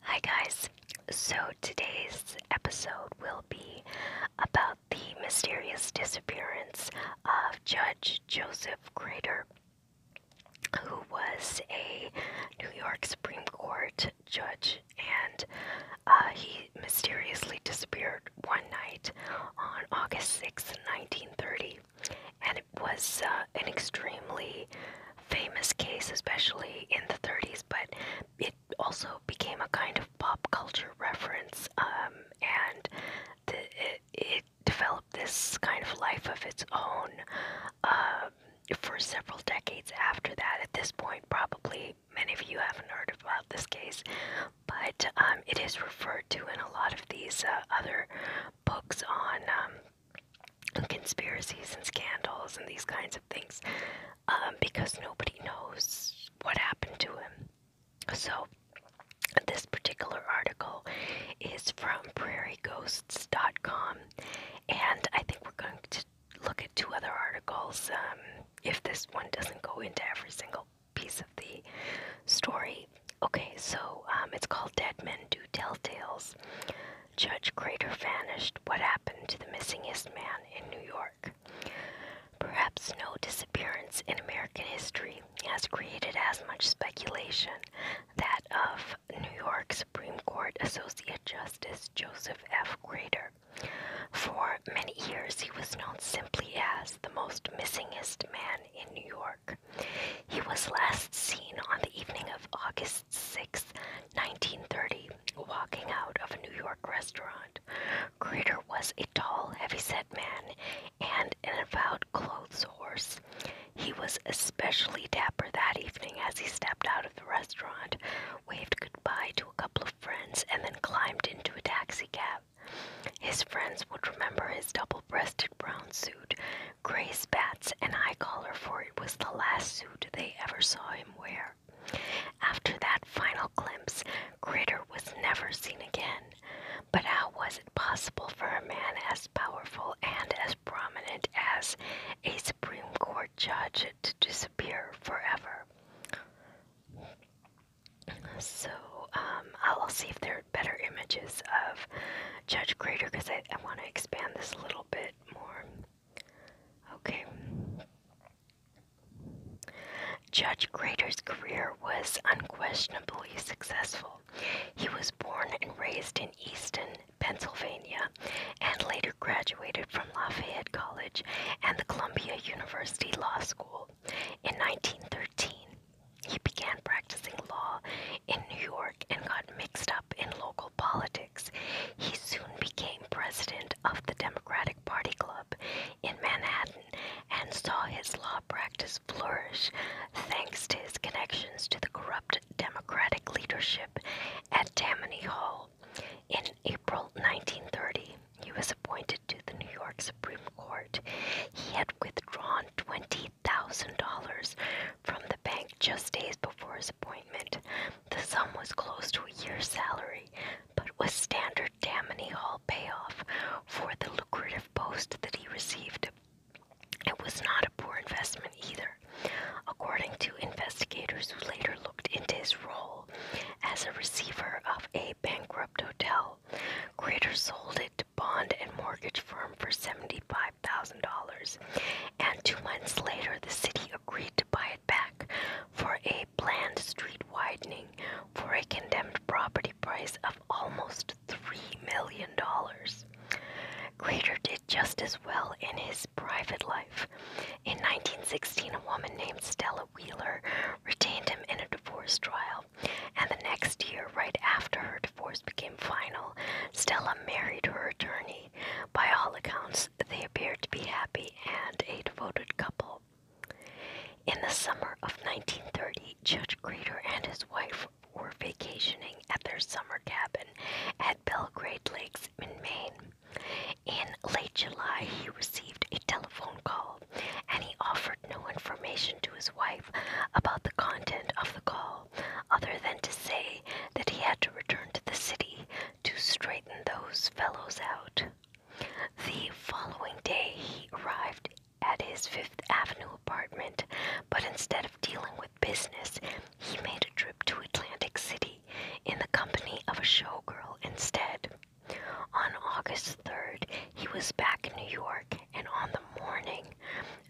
Hi, guys. So, today's episode will be about the mysterious disappearance of Judge Joseph Crater, who was a New York Supreme Court judge, and uh, he mysteriously disappeared one night on August 6, 1930. And it was uh, an extremely famous case, especially in the 30s, but it also became a kind of pop culture reference, um, and it, developed this kind of life of its own um, for several decades after that. At this point, probably many of you haven't heard about this case, but um, it is referred to in a lot of these uh, other books on conspiracies and scandals and these kinds of things um, because nobody knows what happened to him. So, this particular article is from prairieghosts.com, and I think we're going to look at two other articles um, if this one doesn't go into every single piece of the story. Okay, so um, it's called Dead Men Do Tell Tales. Judge Crater vanished. What happened to the missingest man in New York? Perhaps no disappearance in American history has created as much speculation that of New York Supreme Court Associate Justice Joseph F. Crater. For many years, he was known simply as the most missingest man in New York. He was last seen on the evening of August 6, 1930, walking out of a New York restaurant. Crater was a tall, heavy-set man and an avowed clothes horse. He was especially dapper that evening as he stepped out of the restaurant, waved goodbye to a couple of friends, and then climbed into a taxicab. His friends would remember his double breasted brown suit Grace bats an eye collar for it was the last suit they ever saw him wear. After that final glimpse, Critter was never seen again. But how was it possible for a man as powerful and as prominent as a Supreme Court judge to disappear forever? So, um, I'll see if there are better images of Judge Crater because I want to expand this a little bit more. Okay. Judge Grater's career was unquestionably successful. He was born and raised in Easton, Pennsylvania, and later graduated from Lafayette College and the Columbia University Law School. In 1913, he began practicing law in New York and got mixed up in local politics, he soon became president of the Democratic Party Club in Manhattan and saw his law practice flourish thanks to his connections to the corrupt Democratic leadership at Tammany Hall. In April 1930, he was appointed to the New York Supreme Court. He had withdrawn $20,000 from the bank just days before his appointment. The sum was close to a year's salary, but was standard Tammany Hall payoff for the lucrative post that he received. It was not a poor investment either. According to investigators who later looked into his role as a receiver of a bankrupt hotel, Crater sold it to bond and mortgage firm for $75,000 and two months later, the city agreed to buy it back for a planned street widening for a condemned property price of almost three million dollars. Crater did just as well in his private life. In 1916, a woman named Stella Wheeler retained him in a divorce trial, and the next year, right after her divorce became final, Stella married her attorney. By all accounts, they appeared to be happy and a devoted couple. In the summer of 1930, Judge Greeter and his wife were vacationing at their summer cabin at Belgrade Lakes in Maine. In late July, he received a telephone call and he offered no information to his wife about the content of the call other than to say that he had to return to the city to straighten those fellows out. The following day, he arrived at his Fifth Avenue apartment, but instead of dealing with business, he made a trip to Atlantic City in the company of a showgirl instead. On August 3rd, he was back in New York, and on the morning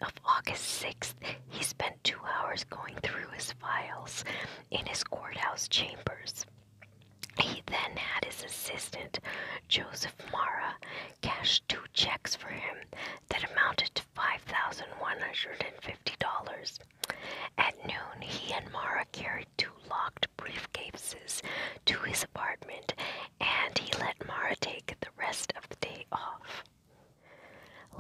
of August 6th, he spent two hours going through his files in his courthouse chambers. He then had his assistant, Joseph Mara, cash two checks for him that amounted to $5,150. At noon, he and Mara carried two locked briefcases to his apartment and he let Mara take the rest of the day off.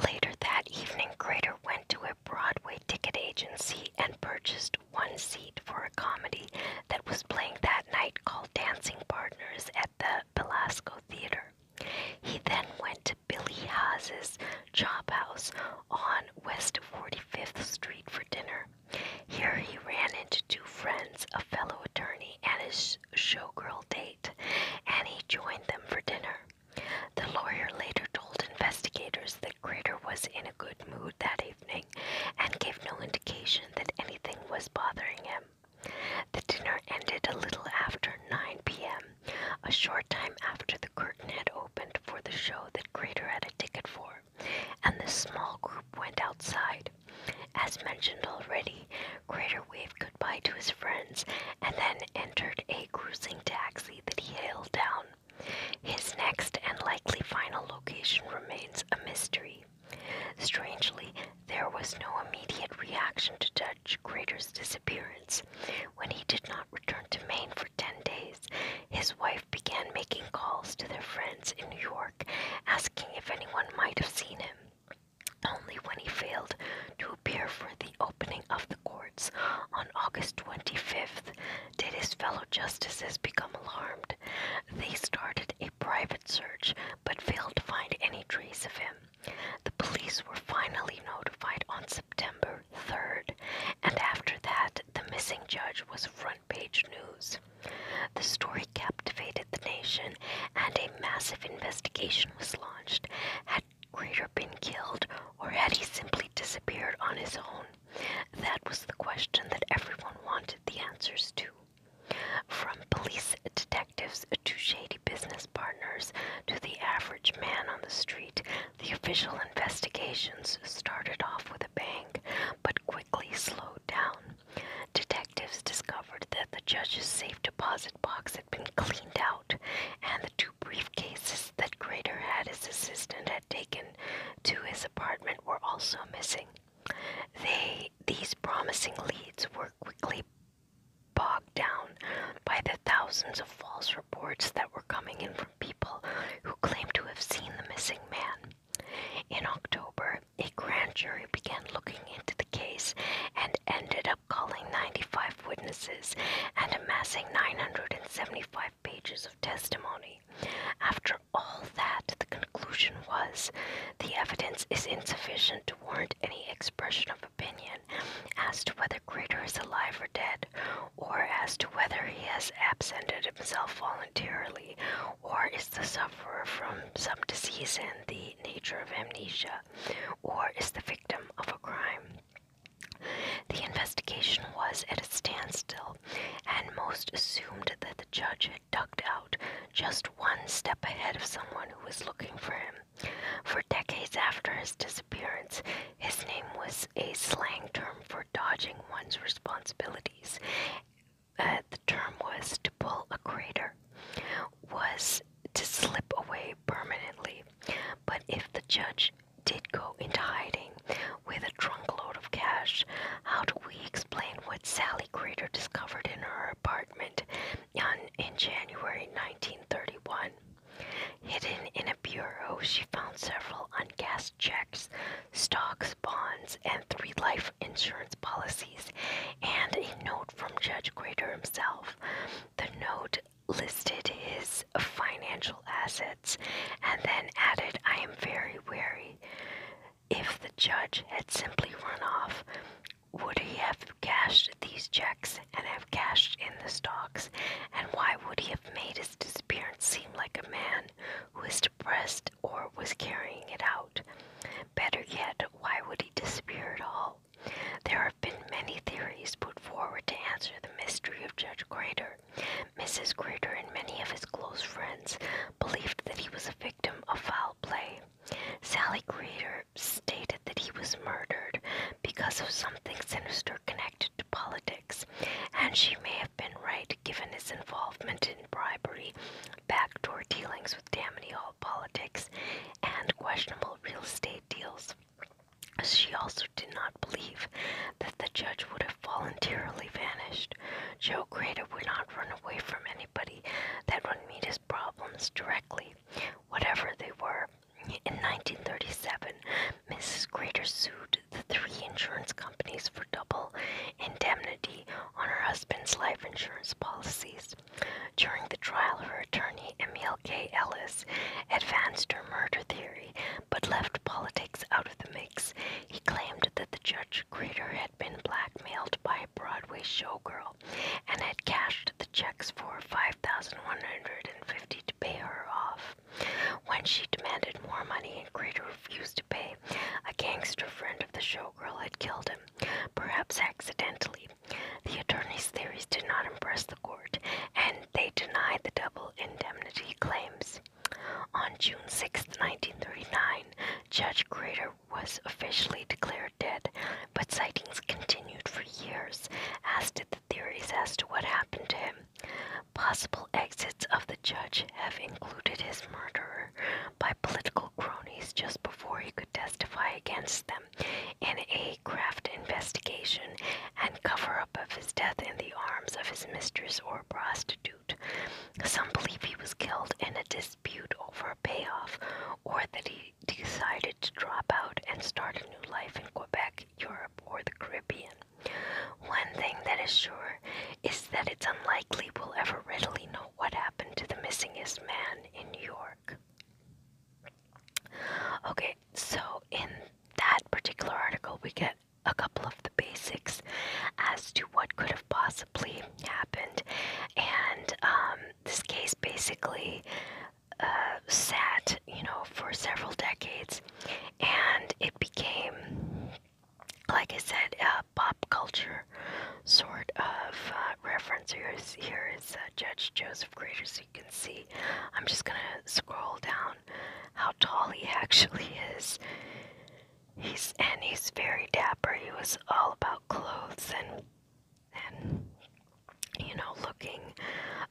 Later that evening, Crater went to a Broadway ticket agency and purchased one seat for a comedy that was playing that night called Dancing Partners at the Belasco Theater. He then went to Billy Haas's Chop House on West 45th Street for dinner. Here he ran into two friends, a fellow attorney and his showgirl date, and he joined them for dinner. The lawyer later told investigators that Crater was in a good mood that evening and gave no indication that anything was bothering him. The dinner ended a little after 9 p.m., a short time after the curtain had opened for the show that Crater had a ticket for, and the small group went outside. As mentioned already, Crater waved goodbye to his friends and then entered a cruising taxi that he hailed down. His next and likely final location remains a mystery. Strangely, there was no immediate reaction to Judge Crater's disappearance. When he did not return to Maine for 10 days, his wife began making calls to their friends in New York, asking if anyone might have seen him. Only when he failed to appear for the opening of the courts on August 25th, did his fellow justices become alarmed. They started a private search but failed to find any trace of him. The police were finally notified on September 3rd, and after that, the missing judge was front page news. The story captivated the nation, and a massive investigation was launched. Crater been killed, or had he simply disappeared on his own? That was the question that everyone wanted the answers to. From police detectives to shady business partners to the average man on the street, the official investigations started off with a bang, but quickly slowed down. Detectives discovered that the judge's safe deposit box had been cleaned out, and the two briefcases that Grater had his assistant had taken to his apartment were also missing. They, these promising leads were quickly bogged down by the thousands of false reports that were coming in from people who claimed to have seen the missing man. In October, a grand jury began looking into the case and ended up calling 95 witnesses and amassing 975 pages of testimony. After all that, the conclusion was the evidence is insufficient to warrant any expression of opinion as to whether Crater is alive or dead, or as to whether he has absented himself voluntarily, or is the sufferer from some disease and the nature of amnesia, or is the victim of a crime. The investigation was at a standstill, and most assumed that the judge had ducked out just one step ahead of someone who was looking for him. For decades after his disappearance, his name was a slang term for dodging one's responsibilities. Uh, the term was to pull a crater, was to slip away permanently. But if the judge did go into hiding with a trunkload of cash. How do we explain what Sally Crater discovered in her apartment in January 1931? Hidden in a bureau, she found several uncash checks, stocks, bonds, and three life insurance policies, and a note from Judge Crater himself. The note listed his financial assets and then added, I am very wary. If the judge had simply run off, would he have cashed these checks and have cashed in the stocks? And why would he have made his disappearance seem like a man who is depressed or was carrying it out? Better yet, why would he disappear at all? There have been many theories put forward to answer the mystery of Judge Grater. Mrs. Grater and many of his close friends believed that he was a victim of foul play. Sally Grater stated that he was murdered because of something sinister connected to politics, and she may have been right given his involvement in bribery, backdoor dealings with Tammany Hall politics, and questionable real estate deals. She also did not believe that the judge would have voluntarily vanished. Joe Crater would not run away from anybody that would meet his problems directly, whatever they were. In 1937, Mrs. Crater sued the three insurance companies for double indemnity on her husband's life insurance policies. During the trial, her attorney, Emil K. Ellis, advanced her murder theory, but left politics out of the mix. He claimed that the judge creator had been blackmailed by a Broadway showgirl and had cashed the checks for 5150 to pay her off. When she demanded more money and Creator refused to pay, a gangster friend of the showgirl had killed him, perhaps accidentally. The attorney's theories did not impress the court, and they denied the double indemnity claims. On June 6, 1939, Judge Grater was officially declared dead, but sightings continued for years, as did the theories as to what happened to him. Possible exits of the judge have included his murderer by political cronies just before he could testify against them in a craft investigation and cover up of his death in the arms of his mistress or prostitute. Some believe he was killed in a dispute over a payoff or that he decided to drop out and start a new life in Quebec, Europe, or the Caribbean. One thing that is sure is that it's unlikely we'll ever readily know what happened to the missingest man in New York. Okay, so in that particular article, we get a couple of the basics as to what could have possibly happened. And um, this case basically uh, sat, you know, for several decades and it became, like I said, a pop culture sort of uh, reference. Here's, here is uh, Judge Joseph Grater's you can see. I'm just gonna scroll down how tall he actually is. He's and he's very dapper. He was all about clothes and and you know looking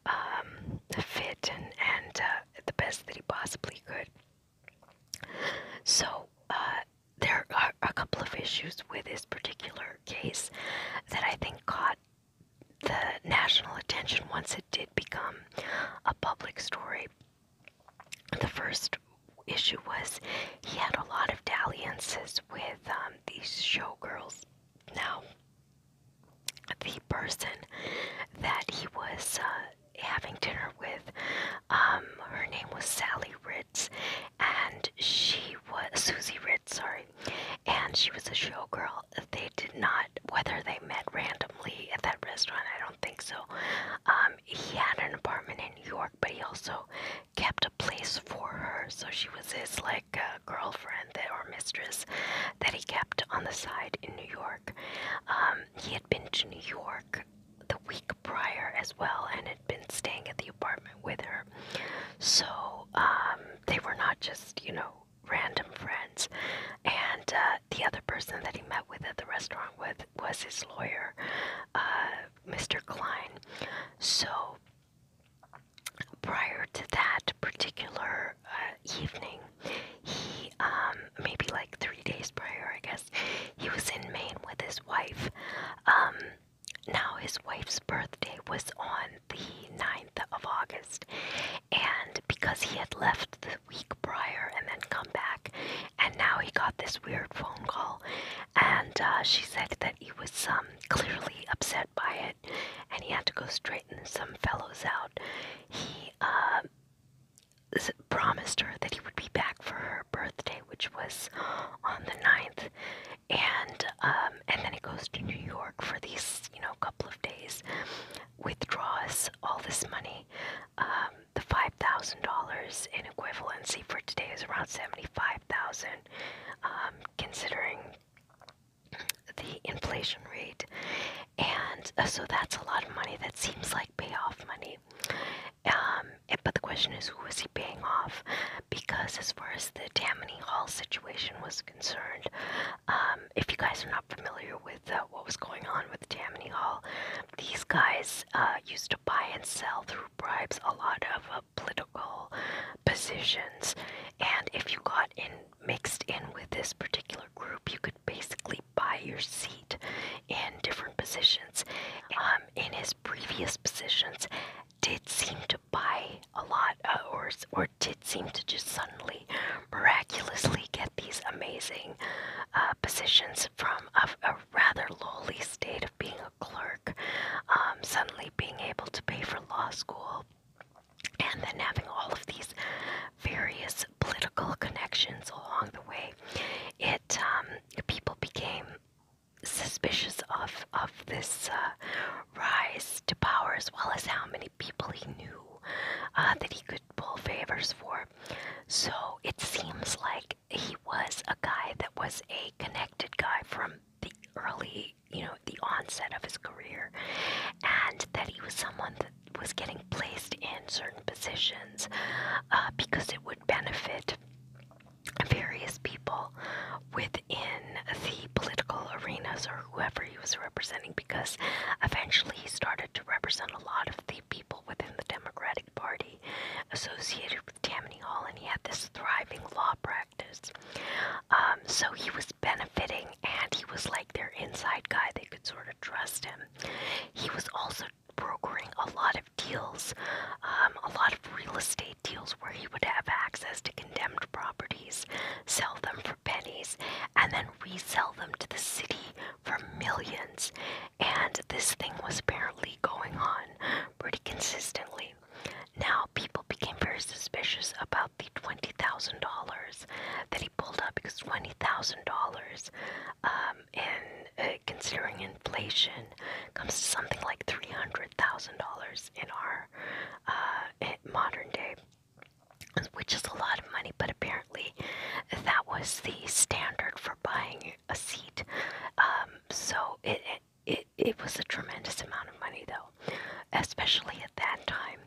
um, fit and and uh, the best that he possibly could. So uh, there are a couple of issues with this particular case that I think caught the national attention once it did become a public story. The first issue was he had a lot of dalliances with um, these showgirls. Now, the person that he was uh, having dinner with, um, her name was Sally Ritz, and she was Susie Ritz, sorry, and she was a showgirl. They did not, whether they met randomly at that restaurant, I don't think so. Um, he had an apartment in New York, but he also kept a place for her, so she was his like uh, girlfriend that, or mistress that he kept on the side in New York. Um, he had been to New York the week prior as well and had been staying at the apartment with her. So um, they were not just, you know, random friends. And uh, the other person that he met with at the restaurant with was his lawyer, uh, Mr. Klein. So prior to that particular uh, evening, he um, maybe like three days prior, I guess, he was in Maine with his wife. Um, now his wife's birthday was on the 9th of August. And because he had left the week prior and then come back, and now he got this weird phone call, and uh, she said that he was um, clearly upset by it, and he had to go straighten some fellows out. He um, promised her that he would be back for her birthday, which was on the 9th, and um, um, and then he goes to New York for these, you know, couple of days, withdraws all this money. Um, the $5,000 in equivalency for today is around 75,000, um, considering the inflation rate. And uh, so that's a lot of money that seems like payoff money. Um, but the question is, who is he paying off? Because as far as the Tammany Hall situation was concerned. Um, if you guys are not familiar with uh, what was going on with Tammany Hall, these guys uh, used to buy and sell through bribes a lot of uh, political positions, and if you got in mixed in with this particular group, you could basically buy your seat in different positions. Um, in his previous positions, did seem to buy a lot uh, or or Squidward did seem to just suddenly, miraculously get these amazing uh, positions from a, a rather lowly state of being a clerk, um, suddenly being able to pay for law school, and then having all of these various political connections along the way. It um, people became suspicious of of this uh, rise to power as well as how many people he knew uh, that he could pull favors for. So it seems like he was a guy that was a connected guy from the early, you know, the onset of his career, and that he was someone that was getting placed in certain positions uh, because it would benefit various people within the political arenas or whoever he was representing because eventually he started to represent a lot of the people within the Democratic Party associated with Tammany Hall and he had this thriving law practice. Um, so he was benefiting and he was like their inside guy. They could sort of trust him. He was also brokering a lot of deals, um, a lot of real estate deals where he would have access to condemned properties, sell them for for pennies and then resell them to the city for millions. And this thing was apparently going on pretty consistently. Now, people became very suspicious about the $20,000 that he pulled up because $20,000 um, in uh, considering inflation comes to something like $300,000 in our uh, modern day which is a lot of money, but apparently that was the standard for buying a seat. Um, so it, it it was a tremendous amount of money, though, especially at that time.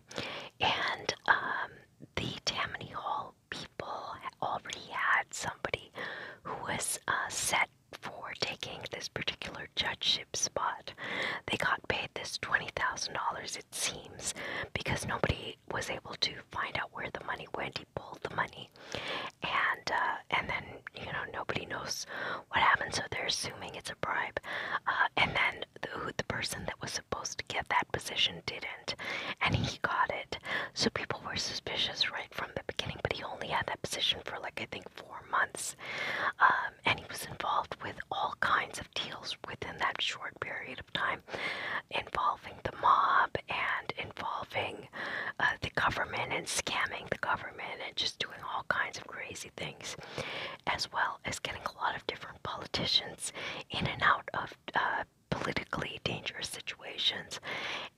And um, the Tammany Hall people already had somebody who was uh, set for taking this particular judgeship spot. They got paid this $20,000 seems, because nobody was able to find out where the money went. He pulled the money, and uh, and then you know nobody knows what happened, so they're assuming it's a bribe. Uh, and then the, who the person that was supposed to get that position didn't, and he got it. So people were suspicious right from the beginning, but he only had that position for like I think four months. Uh, um, and he was involved with all kinds of deals within that short period of time, involving the mob and involving uh, the government and scamming the government and just doing all kinds of crazy things, as well as getting a lot of different politicians in and out of. Uh, politically dangerous situations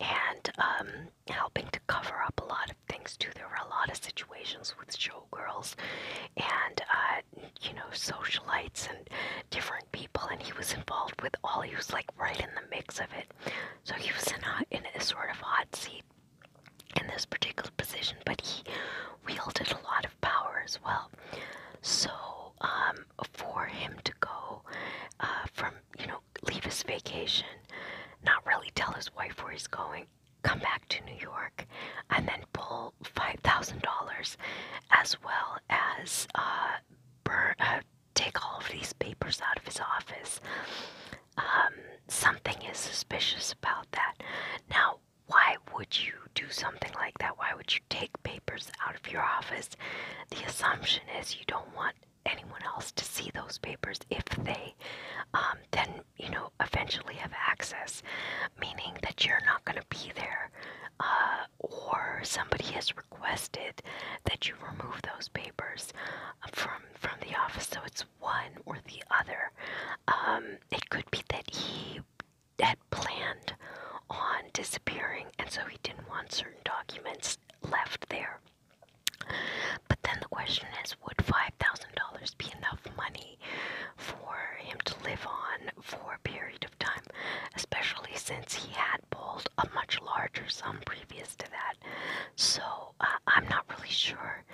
and um, helping to cover up a lot of things too. There were a lot of situations with Joe showgirls and uh, you know socialites and different people, and he was involved with all. He was like right in the mix of it, so he was in a in a sort of hot seat in this particular position, but he wielded a lot of power as well. So um, for him to go uh, from you know leave his vacation, not really tell his wife where he's going, come back to New York and then pull $5,000 as well as uh, burn, uh, take all of these papers out of his office. Um, something is suspicious about that. Now, why would you do something like that? Why would you take papers out of your office? The assumption is you don't want anyone else to see those papers. If they um, then you know, eventually have access, meaning that you're not going to be there, uh, or somebody has requested that you remove those papers uh, from from the office. So it's one or the other. Um, it could be that he had planned on disappearing, and so he didn't want certain documents left there. But then the question is, would $5,000 be enough money for him to live on for a period of time, especially since he had pulled a much larger sum previous to that. So uh, I'm not really sure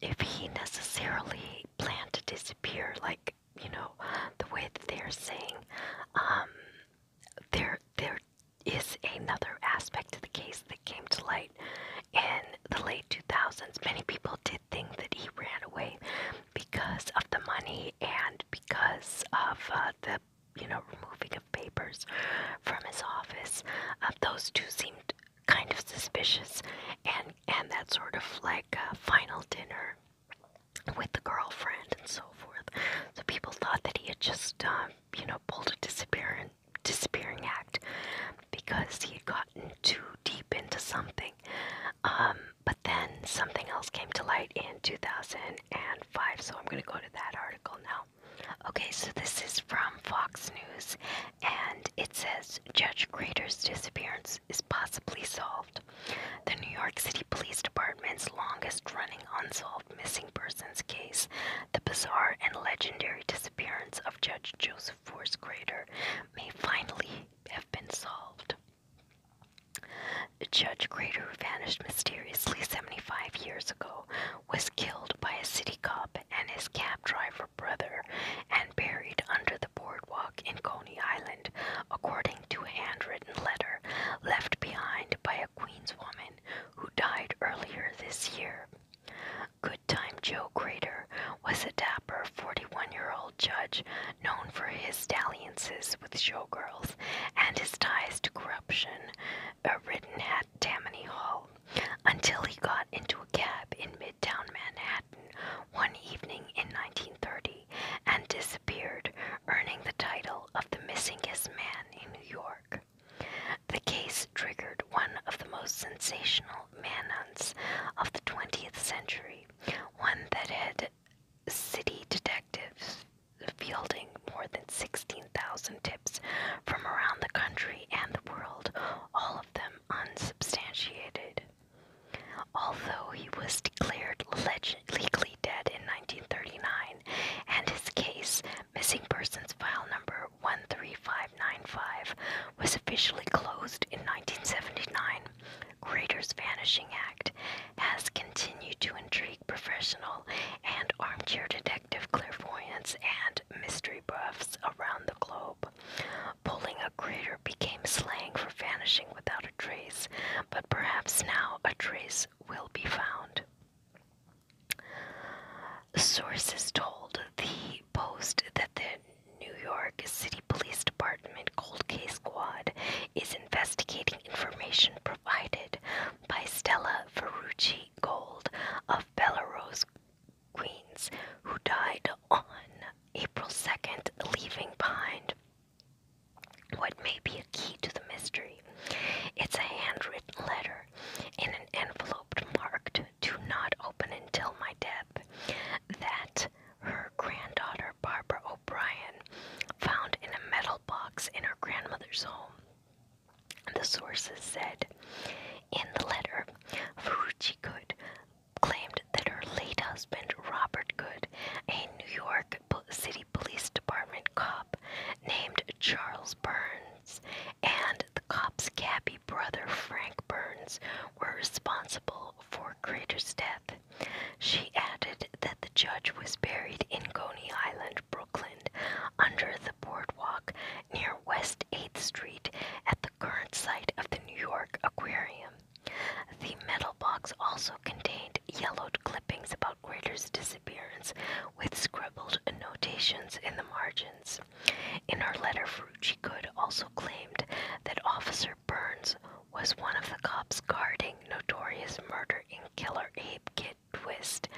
if he necessarily planned to disappear, like you know, the way that they are saying. Um, there, there is another aspect of the case that came to light in the late 2000s. Many people did did think that he ran away because of the money and because of uh, the you know removing of papers from his office. Uh, those two seemed kind of suspicious, and and that sort of like uh, final dinner with the girlfriend and so forth. So people thought that he had just um, you know pulled a disappearing disappearing act because he had gotten too deep into something. Um, but then something else came to light in 2005, so I'm going to go to that article now. Okay, so this is from Fox News, and it says Judge Grater's disappearance is possibly solved. The New York City Police Department's longest running unsolved missing persons case, the bizarre and legendary disappearance of Judge Joseph Force Grater, may finally have been solved. Judge Crater, who vanished mysteriously 75 years ago, was killed by a city cop and his cab driver brother and buried under the boardwalk in Coney Island, according to a handwritten letter left behind by a Queens woman who died earlier this year. Good Time Joe Crater was a dapper 41 year old judge known for his dalliances with showgirls and his ties to corruption, uh, written at Tammany Hall, until he got into a cab in midtown Manhattan one evening in 1930 and disappeared, earning the title of the missingest man in New York. The case triggered one of the most sensational man hunts of the 20th century, one that had city detectives fielding more than 16,000 tips from around the country and the world, all of them unsubstantiated. Although he was declared legally dead in 1939 and his case, missing persons file number 13595, was officially closed in 1979, Greater's Vanishing Act has continued to intrigue professional and armchair detective clairvoyants and mystery buffs around the globe. Pulling a Greater became slang for vanishing without a trace, but perhaps now a trace will be found. Sources told the Post that the New York City Police Department Cold Case Squad is investigating information provided by Stella Ferrucci Gold of Belarus, Queens, who died on April 2nd, leaving behind what may be a key to the mystery. It's a handwritten letter in an envelope marked, Do not open until my death that her granddaughter Barbara O'Brien found in a metal box in her grandmother's home. The sources said in the letter, Furuchi Good claimed that her late husband Robert Good, a New York City Police Department cop named Charles Burns, and the cop's cabbie brother Frank Burns were responsible for Crater's death. She added that the judge was buried in Coney Island, Brooklyn, under the boardwalk near West 8th Street at the current site of the New York Aquarium. The metal box also contained yellowed clippings about Crater's disappearance with scribbled notations in the margins. In her letter, Ferrucci Good also claimed that Officer Burns was one of the cops guarding Notorious Murder in Killer Ape Kid Twist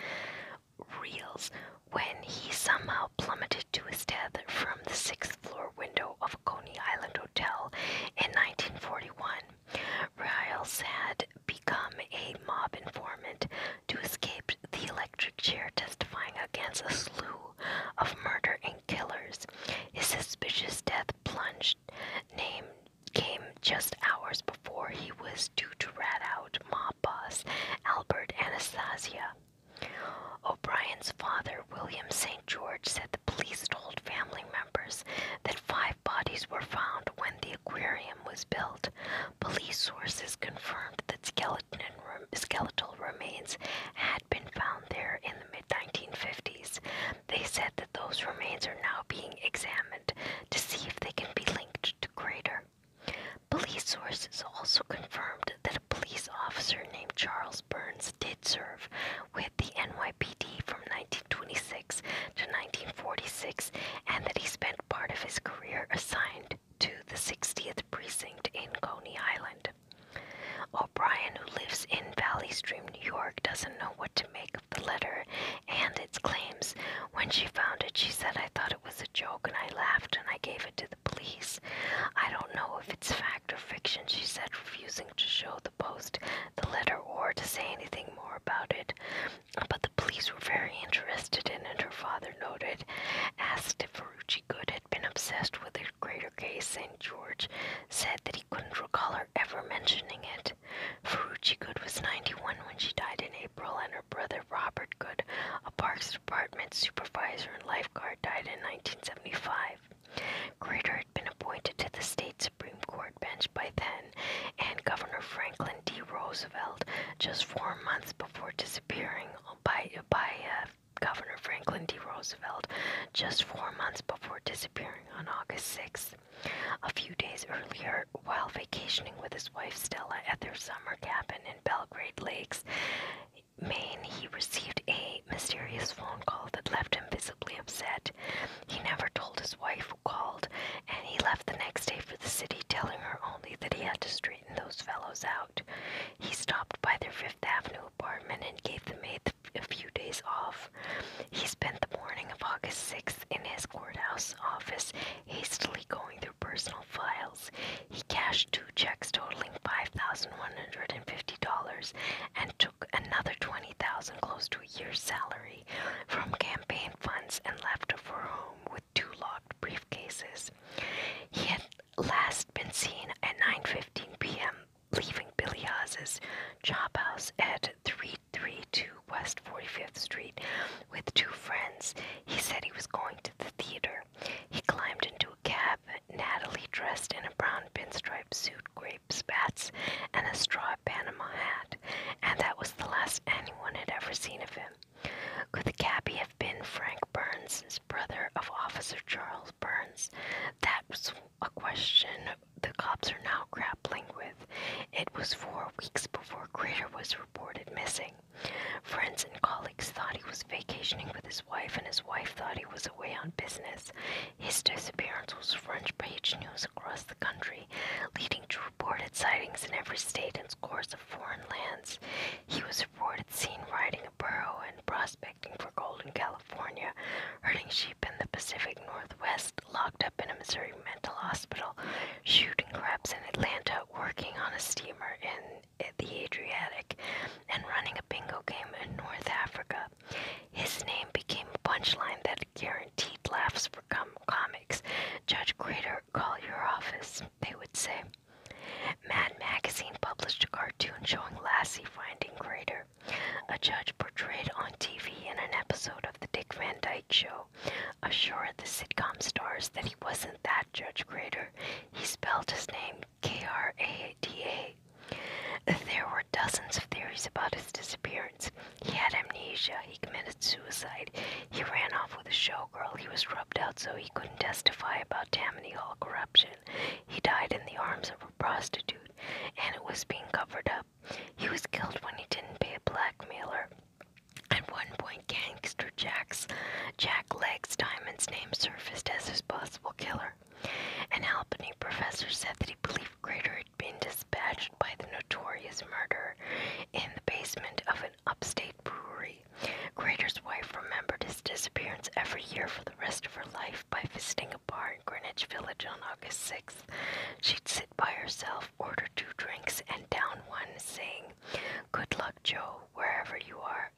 reels when he somehow plummeted to his death from the sixth floor window of a Coney Island hotel in 1941. Riles had become a mob informant to escape the electric chair testifying against a slew of murder and killers. His suspicious death plunged name came just hours before he was due to rat out mob boss Albert Anastasia. O'Brien's father, William St. George, said the police told family members that five bodies were found when the aquarium was built. Police sources confirmed that skeletal remains had been found there in the mid 1950s. They said that those remains are now being examined to see if they can be linked to Crater. Police sources also confirmed that a police officer named Charles Burns did serve with the NYPD from 1926 to 1946 and that he spent part of his career assigned to the 60th precinct in Coney Island mind. O'Brien, who lives in Valley Stream, New York, doesn't know what to make of the letter and its claims. When she found it, she said, I thought it was a joke and I laughed and I gave it to the police. I don't know if it's fact or fiction, she said, refusing to show the post the letter or to say anything more about it. But the police were very interested in it, her father noted, asked if Ferrucci Good had been obsessed with a greater case, saying George, said that he couldn't recall her ever mentioning it. Ferrucci Good was 91 when she died in April, and her brother Robert Good, a Parks Department supervisor and lifeguard, died in 1975. Grater had been appointed to the state Supreme Court bench by then, and Governor Franklin D. Roosevelt just four months before disappearing by, by uh, Governor Franklin D. Roosevelt just four months before disappearing on August 6th. A few days earlier, while vacationing with his wife Stella at their summer cabin in Belgrade Lakes, Maine, he received a mysterious phone call that left him visibly upset. He never told his wife who called, and he left the next day for the city, telling her only that he had to straighten those fellows out. He stopped by their Fifth Avenue apartment and gave the maid a few days off. He spent the morning of August 6th in his courthouse office, hastily going through personal files. He cashed two checks totaling $5,150 and took another $20,000, close to a year's salary, from campaign funds and left for home with two locked briefcases. He had last been seen at 9:15 p.m leaving Billy Oz's job house at 332 West 45th Street with two friends. He said he was going to the theater. He climbed into a cab. Natalie, dressed in a brown pinstripe suit, grape spats, and a straw Panama hat, and that was the last anyone had ever seen of him. Could the cabbie have been Frank Burns, brother of Officer Charles Burns? That was a question the cops are now grappling with. It was four weeks before Crater was reported missing. Friends and colleagues thought he was vacationing with his wife, and his wife thought he was away on business. His disappearance was front page news across the country, leading to reported sightings in every state and scores of foreign lands. He was reported seen riding a burro in Prospect for gold in California, herding sheep in the Pacific Northwest, locked up in a Missouri mental hospital, shooting craps in Atlanta, working on a steamer in the Adriatic, and running a bingo game in North Africa. His name became a punchline that guaranteed laughs for com comics. Judge Crater, call your office, they would say. Mad Magazine published a cartoon showing Lassie finding Crater a judge portrayed on TV in an episode of The Dick Van Dyke Show assured the sitcom stars that he wasn't that Judge Grader. He spelled his name K R A D A. There were dozens of theories about his disappearance. He had amnesia, he committed suicide, he ran off with a showgirl, he was rubbed out so he couldn't testify about Tammany Hall corruption, he died in the arms of prostitute and it was being covered up. He was killed when he didn't pay a blackmailer. At one point, gangster Jack's Jack Legs Diamond's name surfaced as his possible killer. An Albany professor said that he believed Grater had been dispatched by the notorious murderer in the basement of an upstate brewery. Grater's wife remembered his disappearance every year for the rest of her life by visiting a bar in Greenwich Village on August 6th. She'd sit by herself, order two drinks, and down one, saying, Good luck, Joe, wherever you are.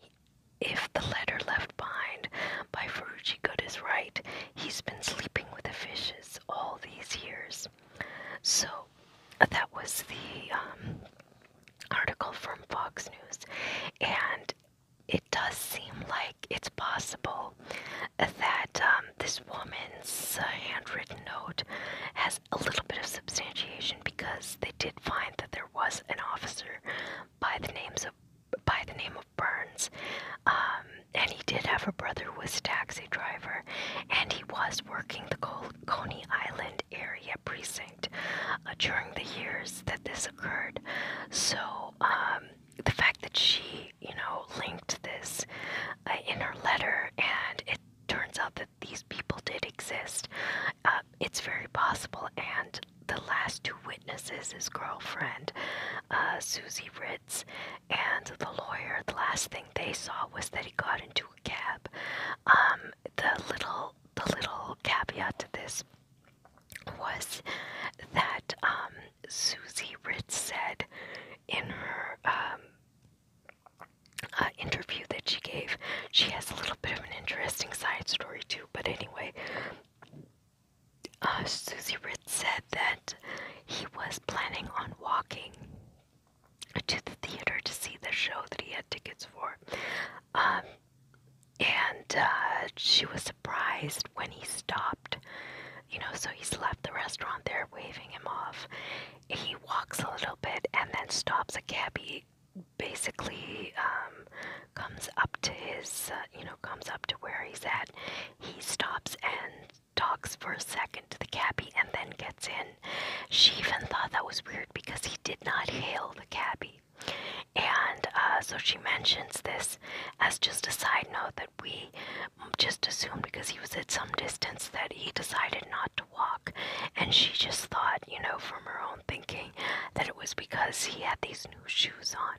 If the letter left behind by Ferrucci Good is right, he's been sleeping with the fishes all these years. So, that was the um, article from Fox News. And it does seem like it's possible that um, this woman's uh, handwritten note has a little bit of substantiation because they did find that there was an officer by the names of by the name of Burns, um, and he did have a brother who was a taxi driver, and he was working the Coney Island area precinct uh, during the years that this occurred. So um, the fact that she, you know, linked this uh, in her letter, and it turns out that these people did exist, uh, it's very possible. And the last two witnesses, is girlfriend, uh, Susie Ritz, and the lawyer, the last thing they saw was that he got into a cab. Um, the little, the little caveat to this was that um, Susie Ritz said in her um, uh, interview that she gave. She has a little bit of an interesting side story, too, but anyway, uh, Susie Ritz said that he was planning on walking to the theater to see the show that he had tickets for. Um, and uh, she was surprised when he stopped. You know, so he's left the restaurant there waving him off. He walks a little bit and then stops. A cabbie basically um, comes up to his, uh, you know, comes up to where he's at. He stops and talks for a second to the cabbie and then gets in. She even thought that was weird because he did not hail the cabbie. And uh, so she mentions this as just a side note that we just assumed because he was at some distance that he decided not to walk. And she just thought, you know, from her own thinking, that it was because he had these new shoes on,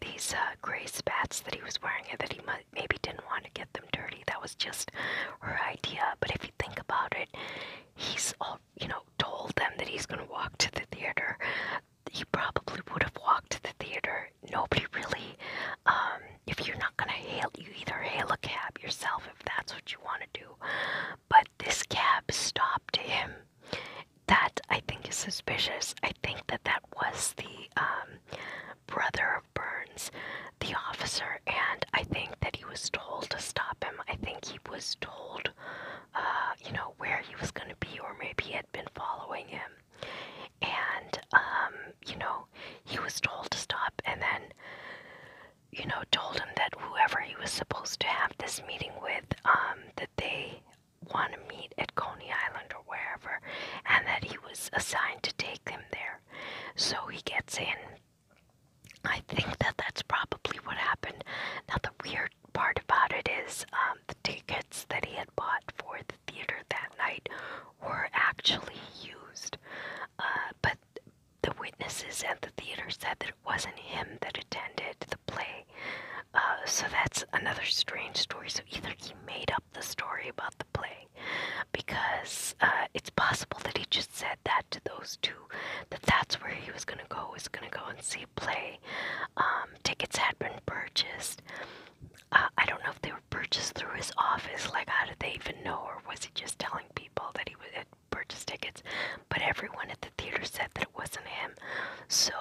these uh, gray spats that he was wearing, and that he might maybe didn't want to get them dirty. That was just her idea. But if you think about it, he's all, you know, told them that he's going to walk to the theater you probably would have walked to the theater. Nobody really, um, if you're not gonna hail, you either hail a cab yourself if that's what you want to do. But this cab stopped him. That I think is suspicious. I think that that was the um, brother of Burns, the officer, and I think that he was told to stop him. I think he was told, uh, you know, where he was going to be, or maybe had been following him. And, um, you know, he was told to stop and then, you know, told him that whoever he was supposed to have this meeting with, um, that they want to meet at Coney Island or wherever, and that he was assigned to take him there. So he gets in. I think that that's probably what happened. Now, the weird weird part about it is um, the tickets that he had bought for the theater that night were actually used, uh, but the witnesses at the theater said that it wasn't him that attended the play. Uh, so that's another strange story. So either he made up the story about the play, because uh, it's possible that he just said that to those two, that that's where he was going to go, was going to go and see play, um, um, tickets had been purchased. Uh, I don't know if they were purchased through his office. Like, how did they even know, or was he just telling people that he had purchased tickets? But everyone at the theater said that it wasn't him. So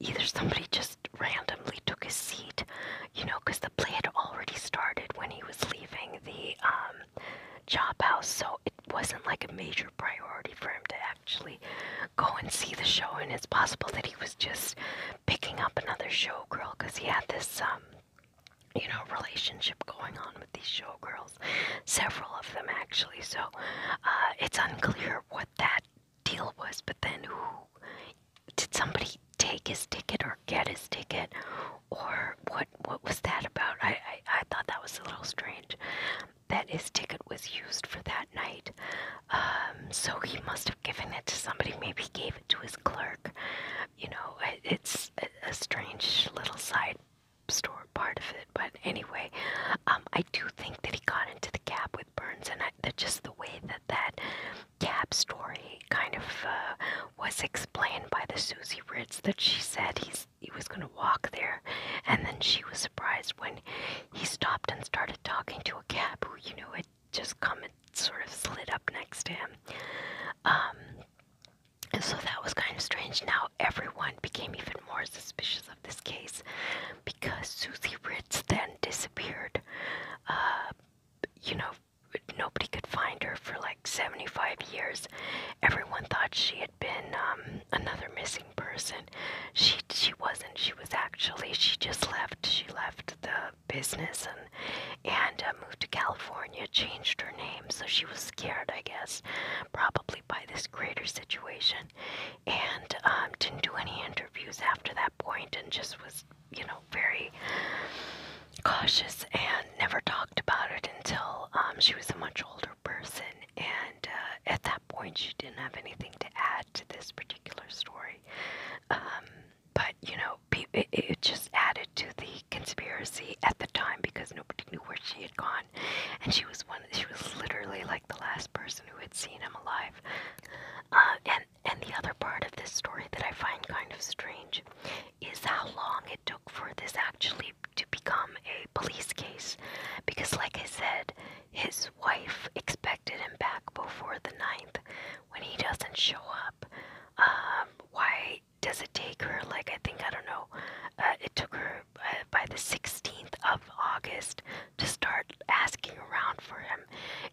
either somebody just randomly took his seat, you know, because the play had already started when he was leaving the um, job house. So it wasn't like a major priority for him to actually go and see the show, and it's possible that he was just picking up another showgirl because he had this, um, you know, relationship going on with these showgirls, several of them actually. So uh, it's unclear what that deal was. But then, who did somebody take his ticket or get his ticket, or what? What was that about? I, I thought that was a little strange that his ticket was used for that night. Um, so he must have given it to somebody. Maybe he gave it to his clerk. You know, it's a, strange little side store part of it. But anyway, um, I do think that he got into the cab with Burns, and I, that just the way that that cab story kind of uh, was explained by the Susie Ritz that she said he's he was going to walk there, and then she was surprised when he stopped and started talking to a cab who, you know, had just come and sort of slid up next to him. Um, and so that was kind of strange. Now everyone became even more suspicious of this case because Susie Ritz then disappeared. Uh, you know, nobody could find her for like 75 years. Everyone thought she had been um, another missing person. She she wasn't. She was actually she just left. She left the business and and uh, moved to California. Changed her name, so she was scared, I guess, probably by this greater situation, and um, didn't do any interviews after that point, and just was you know very cautious and never talked about it until um, she was a much older person. And uh, at that point she didn't have anything to add to this particular story. Um, but you know, it, just added to the conspiracy at the time because nobody knew where she had gone, and she was one. She was literally like the last person who had seen him alive. Uh, and and the other part of this story that I find kind of strange is how long it took for this actually to become a police case, because like I said, his wife expected him back before the 9th. When he doesn't show up, um, why does it take her, like, I think, I don't know, uh, it took her uh, by the 16th of August to start asking around for him?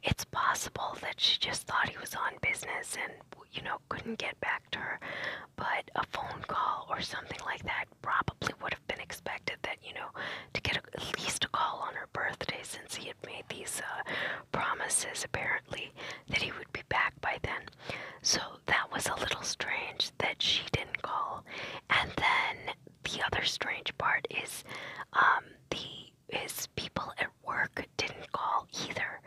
It's possible that she just thought he was on business and, you know, couldn't get back to her, but a phone call or something like that probably would have been expected that, you know, to get a, at least a call on her birthday since he had made these uh, promises apparently that he would be back by then. So that was a little strange that she didn't call. And then the other strange part is um, the his people at work didn't call either.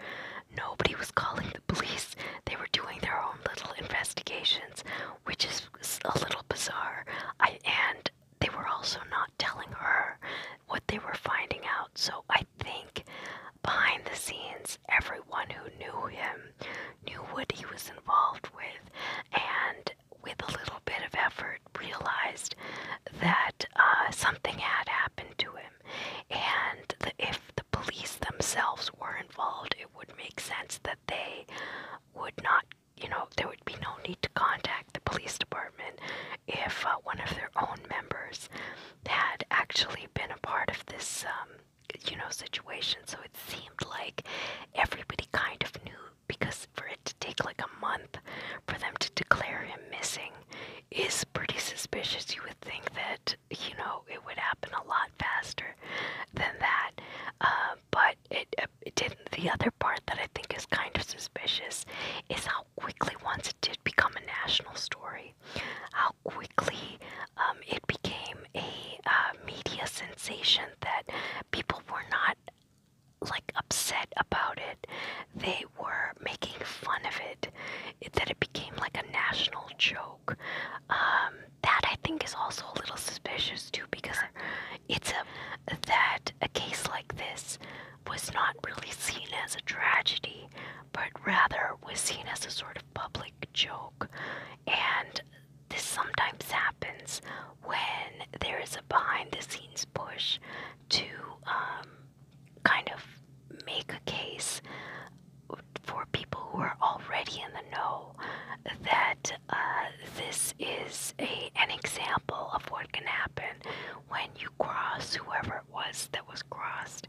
Nobody was calling the police. They were doing their own little investigations, which is a little bizarre. I and they were also not telling her what they were finding out. So I think behind the scenes, everyone who knew him knew what he was involved with, and with a little bit of effort, realized that uh, something had happened to him. And if the police themselves were involved, it would make sense that they would not you know, there would be no need to contact the police department if uh, one of their own members had actually been a part of this, um, you know, situation. So it seemed like everybody kind of knew because for it to take like a month for them to declare him missing is pretty suspicious. You would think that, you know, it would happen a lot faster than that. Um, but it, didn't. The other part that I think is kind of suspicious is how quickly, once it did become a national story, how quickly um, it became a uh, media sensation that people were not like upset about it. They were making fun of it, that it became like a national joke. Um, that I think is also a little suspicious too, because it's a, um, that a case like this was not really seen as a tragedy, but rather was seen as a sort of public joke. And this sometimes happens when there is a behind the scenes push to um, kind of make a case for people who are already in the know that uh, this is a, an example of what can happen when you cross whoever it was that was crossed.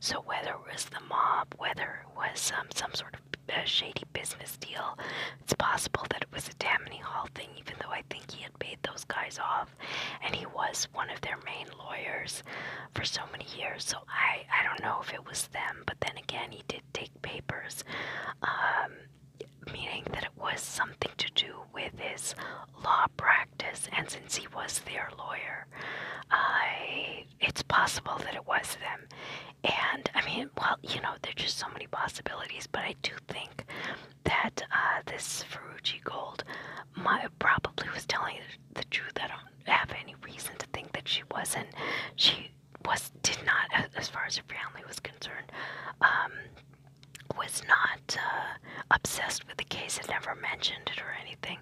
So, whether it was the mob, whether it was um, some sort of a uh, shady business deal. It's possible that it was a Tammany Hall thing, even though I think he had paid those guys off, and he was one of their main lawyers for so many years. So I I don't know if it was them, but then again, he did take papers um, meaning that it was something to do with his law practice, and since he was their lawyer, I it's possible that it was them. And I mean, well, you know, there's just so many possibilities, but I do think that uh, this Ferrucci Gold my, probably was telling the truth. I don't have any reason to think that she wasn't. She was did not, as far as her family was concerned, um, was not uh, obsessed with the case. Had never mentioned it or anything,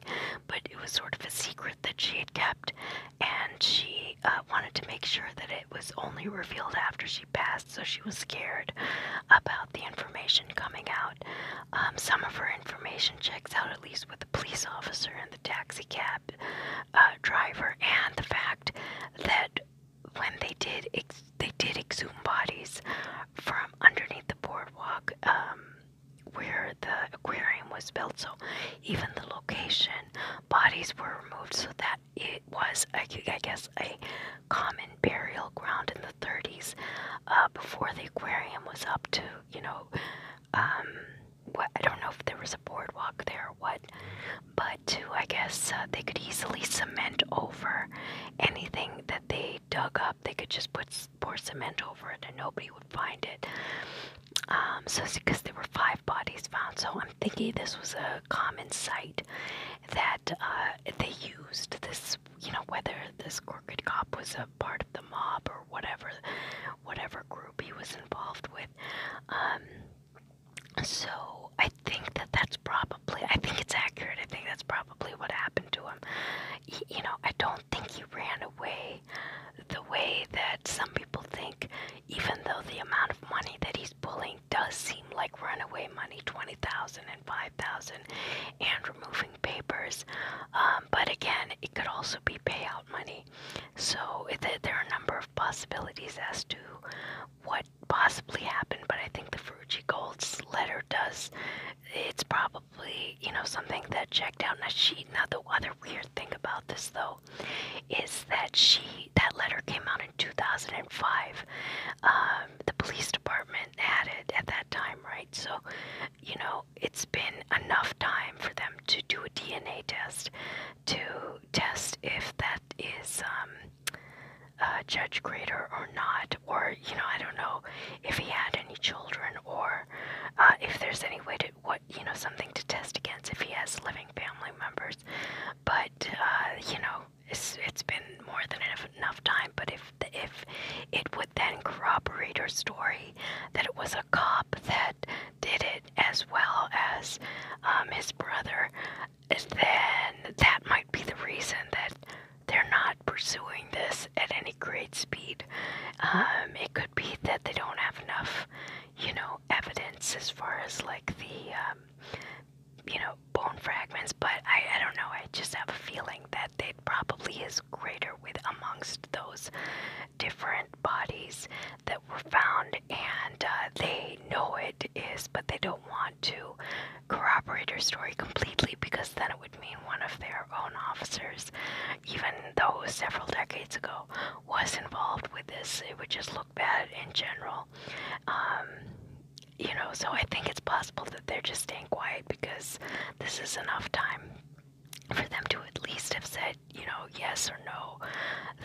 but it was sort of a secret that she had kept, and she uh, wanted to make sure that it was only revealed after she passed. So she was scared about the information coming out. Um, some of her information checks out, at least with the police officer and the taxi cab uh, driver, and the fact that when they did ex they did exhume bodies from underneath the boardwalk um, where the aquarium was built so even the location bodies were removed so that it was I, I guess a common burial ground in the 30s uh, before the aquarium was up to you know um, what I don't know if there was a boardwalk there or what but too, I guess uh, they could easily cement over anything that they dug up. They could just put pour cement over it, and nobody would find it. Um, so it's because there were five bodies found. So I'm thinking this was a common site that uh, they used. This, you know, whether this crooked cop was a part of the mob or whatever, whatever group he was involved with. Um, so I think that that's probably, I think it's accurate. I think that's probably what happened to him. you know, I don't think he ran away the way that some people think, even though the amount of money that he's pulling does seem like runaway money 20,000 and 5,000 and removing papers. Um, but again, it could also be payout money. So there are a number of possibilities as to what possibly happen, but I think the Fuji Gold's letter does. It's probably, you know, something that checked out. Now, she, now the other weird thing about this, though, is that she, that letter came out in 2005. Um, the police department had it at that time, right? So, you know, it's been enough time for them to do a DNA test to test if that is um, Judge Grader or not, or you know, I don't know if he had any children, or uh, if there's any way to what you know something to test against if he has living family members. But uh, you know, it's it's been more than enough, time. But if if it would then corroborate her story that it was a cop that did it, as well as um, his brother, then that might be the reason that they're not pursuing this at any great speed. Um, it could be that they don't have enough, you know, evidence as far as like the, um, you know, bone fragments, but I, I don't know. I just have a feeling that it probably is greater with amongst those different bodies that were found, and uh, they they know it is, but they don't want to corroborate her story completely because then it would mean one of their own officers, even though several decades ago, was involved with this. It would just look bad in general. Um, you know, so I think it's possible that they're just staying quiet because this is enough time for them to at least have said, you know, yes or no,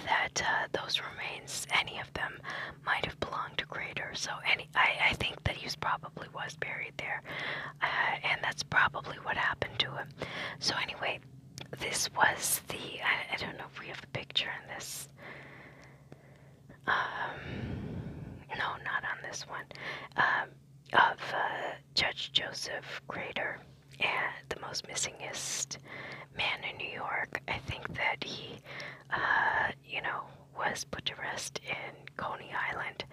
that uh, those remain any of them, might have belonged to Crater. So any, I, think that he probably was buried there, uh, and that's probably what happened to him. So anyway, this was the. I, don't know if we have a picture in this. Um, no, not on this one. Um, of uh, Judge Joseph Crater, and the most missingest man in New York. I think that he, uh, you know, was put to rest in Coney Island.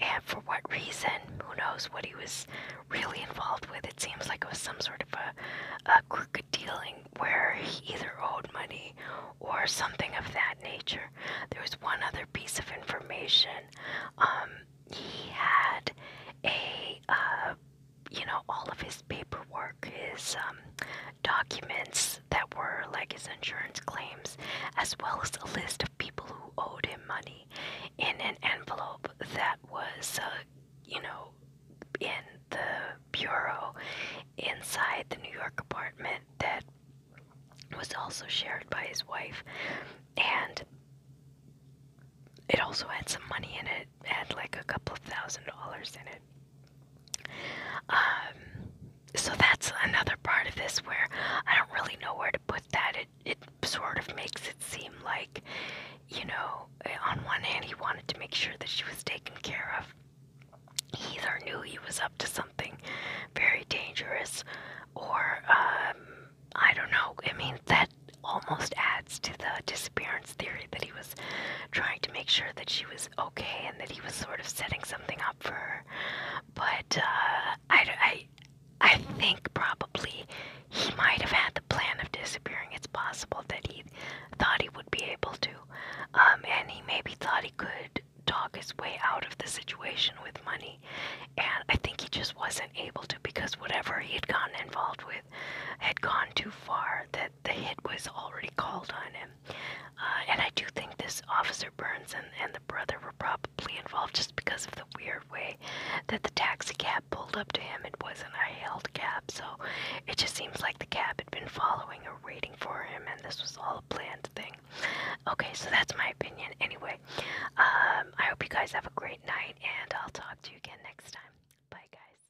And for what reason? Who knows what he was really involved with? It seems like it was some sort of a, a crooked dealing where he either owed money or something of that nature. There was one other piece of information. Um, he had a uh, you know, all of his paperwork, his um, documents that were like his insurance claims, as well as a list of people who owed him money in an envelope that was, uh, you know, in the bureau inside the New York apartment that was also shared by his wife. And it also had some money in it had like a couple of thousand dollars in it. Um, so that's another part of this where I don't really know where to put that. It it sort of makes it seem like, you know, eh, on one hand he wanted to make sure that she was taken care of. He either knew he was up to something very dangerous, or um, I don't know. I mean that almost adds to the disappearance Darwin's theory that he was trying to make sure that she was okay and that he was sort of setting something up for her. But uh, I, I, I think probably he might have had the plan of disappearing. It's possible that he thought he would be able to, um, and he maybe thought he could talk his way out of the situation with money. And I think he just wasn't able to because whatever he had gotten involved with had gone too far. That the hit was already called on him. Uh, and I do think this Officer Burns and, and the brother were probably involved just because of the weird way that the taxi cab pulled up to him. It wasn't a hailed cab, so it just seems like the cab had been following or waiting for him, and this was all a planned thing. Okay, so that's my opinion. Anyway, um, I hope you guys have a great night, and I'll talk to you again next time. Bye, guys.